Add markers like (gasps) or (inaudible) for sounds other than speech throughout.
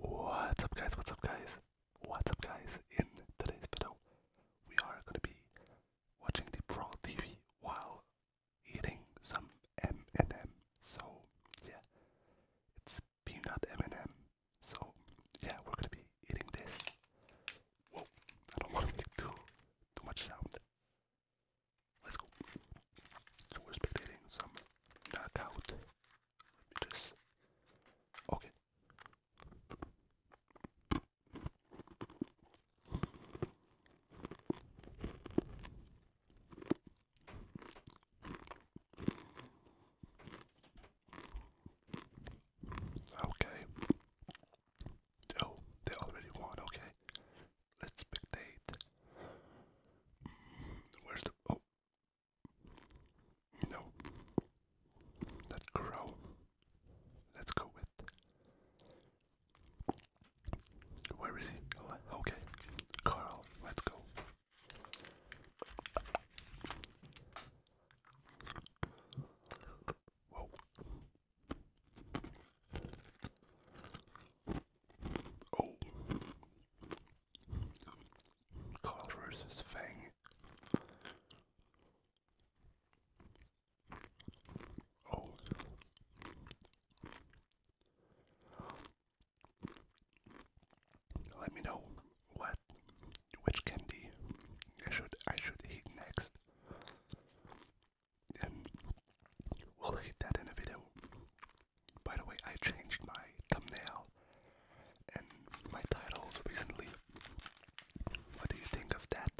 What's up guys, what's up guys, what's up guys, in today's video we are going to be watching the Pro TV while eating some M&M, so yeah, it's peanut M&M, so yeah, we're going to be eating this, whoa, I don't want to make too, too much sound, let's go, we're spectating some knockout Okay. Okay. Oh, they already won. Okay. Let's spectate. Where's the. Oh, no. That crow. Let's go with. Where is he? Oh, okay. Carl, let's go. Whoa. Oh. Carl versus Fang. Oh. Let me know what which candy I should I should eat next. And we'll hit that in a video. By the way, I changed my thumbnail and my titles recently. What do you think of that?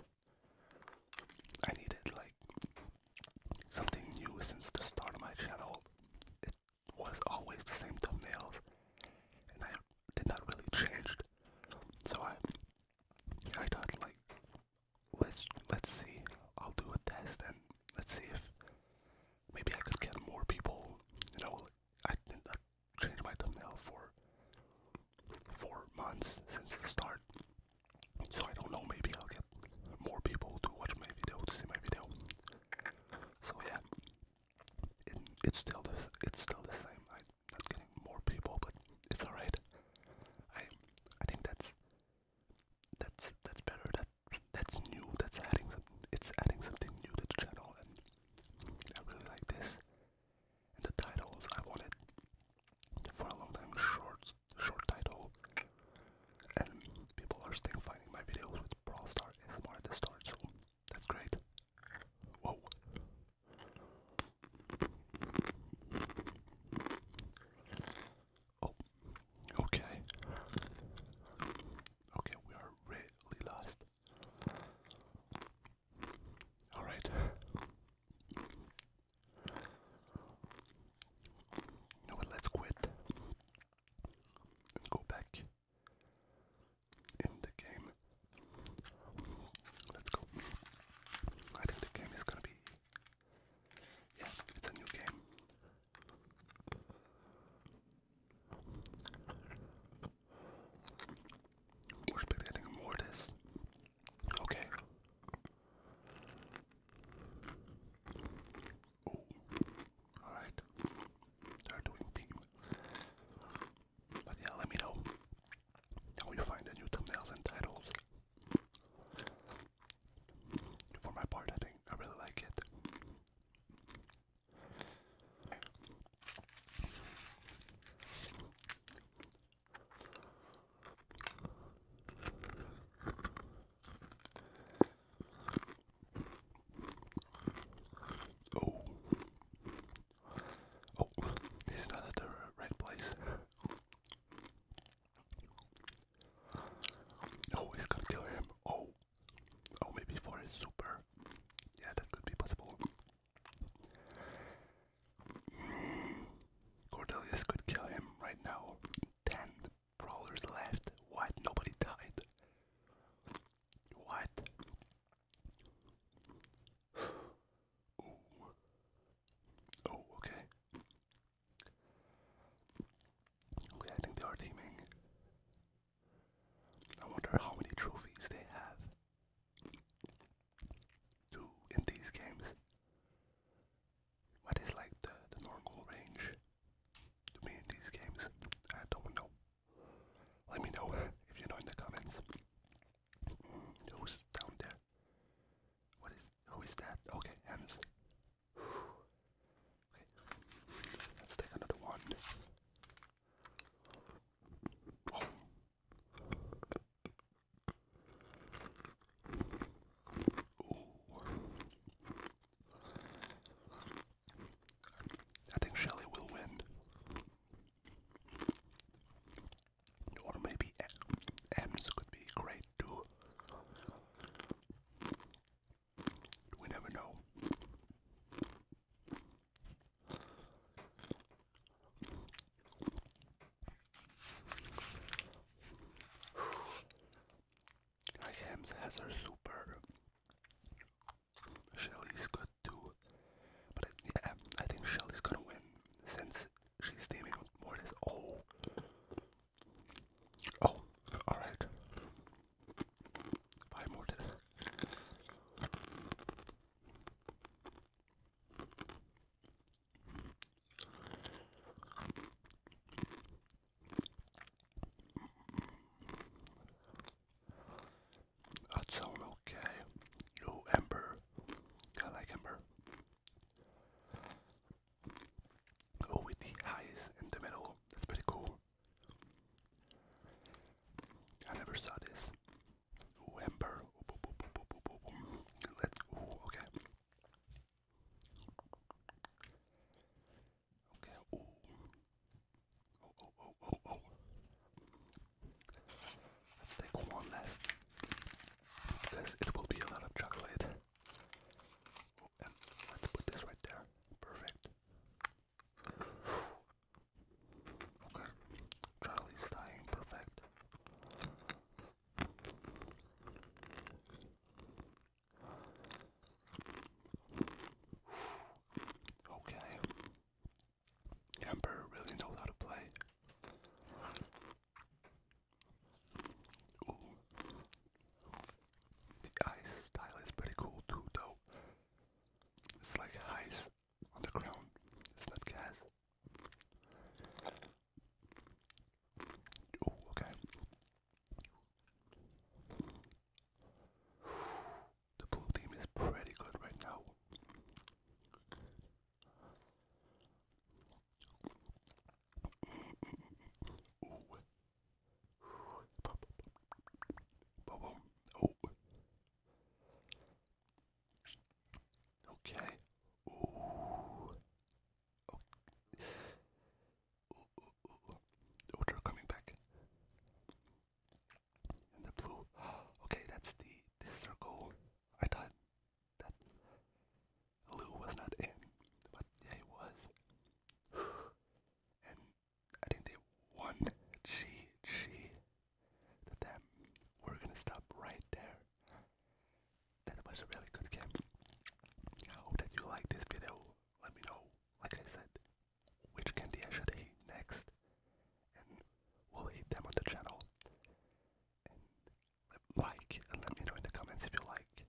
I needed like something new since the start of my channel. It was always the same thumbnails and I did not really change. So I I thought like let's let's see. I'll do a test and let's see if maybe I could get more people, you know, I did my thumbnail for four months since the start. So I don't know, maybe I'll get more people to watch my video, to see my video. So yeah, it's still the, it's still the same. I'm getting more people, but it's alright. I I think that's that's that's better. That that's new. That's adding something. It's adding something new to the channel, and I really like this. And the titles I wanted for a long time short, short title, and people are still finding my videos with Brawl It's more at the start, so that's great. Whoa. Oh, okay. Okay, we are really lost. All right. You Let's quit and go back in the game. Let's go. I think the game is gonna be. Yeah, it's a new game. We're spectating a mortis. Okay. Alright. they doing team. But yeah, let me know how you find the new thumbnails and titles. For my part, I think I really like it. Oh, oh, it's not the right place. Oh, he's gonna kill him. Oh. Oh, maybe for a super. Yeah, that could be possible. Cordelius could kill him right now. Ten brawlers left. What? Nobody died. What? Oh, okay. Okay, I think they are teaming. I wonder how many trophies they have to in these games. What is like the, normal range to me in these games? I don't know. Let me know (laughs) if you know in the comments. Mm, who's down there? What is who is that? Okay, Hans. (sighs) Okay. Let's take another one. I think Shelley will win. Or maybe Ems could be great too. We never know. Like Hams has her super. Shelly's good too. But I think Shelly's gonna win since she's teaming with Mortis. Oh. Oh, alright. Five more to That sound okay. Yo, Ember. I like Ember. Oh, with the eyes in the middle. That's pretty cool. I never saw this. Ooh, Let's. okay. Okay. Oh, oh, oh, oh, oh, Let's take one last. Because it will be a lot of chocolate. Oh, and let's put this right there. Perfect. Okay. Charlie's dying. Perfect. Okay. Amber really knows how to play. The ice style is pretty cool too, though. It's like ice on It's not gas. Oh, okay. The blue team is pretty good right now. Okay. Ooh. Oh. Ooh, Oh, they coming back. And the blue. (gasps) Okay, that's the this circle. I thought that blue was not in, but yeah, it was. (sighs) And I think they won. She, she, to them. We're gonna stop right there. That was a really good game. I hope that you liked this video. Let me know, like I said, which candy I should eat next, and we'll eat them on the channel. like and let me know in the comments if you like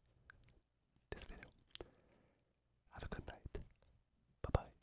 this video. Have a good night. Bye bye.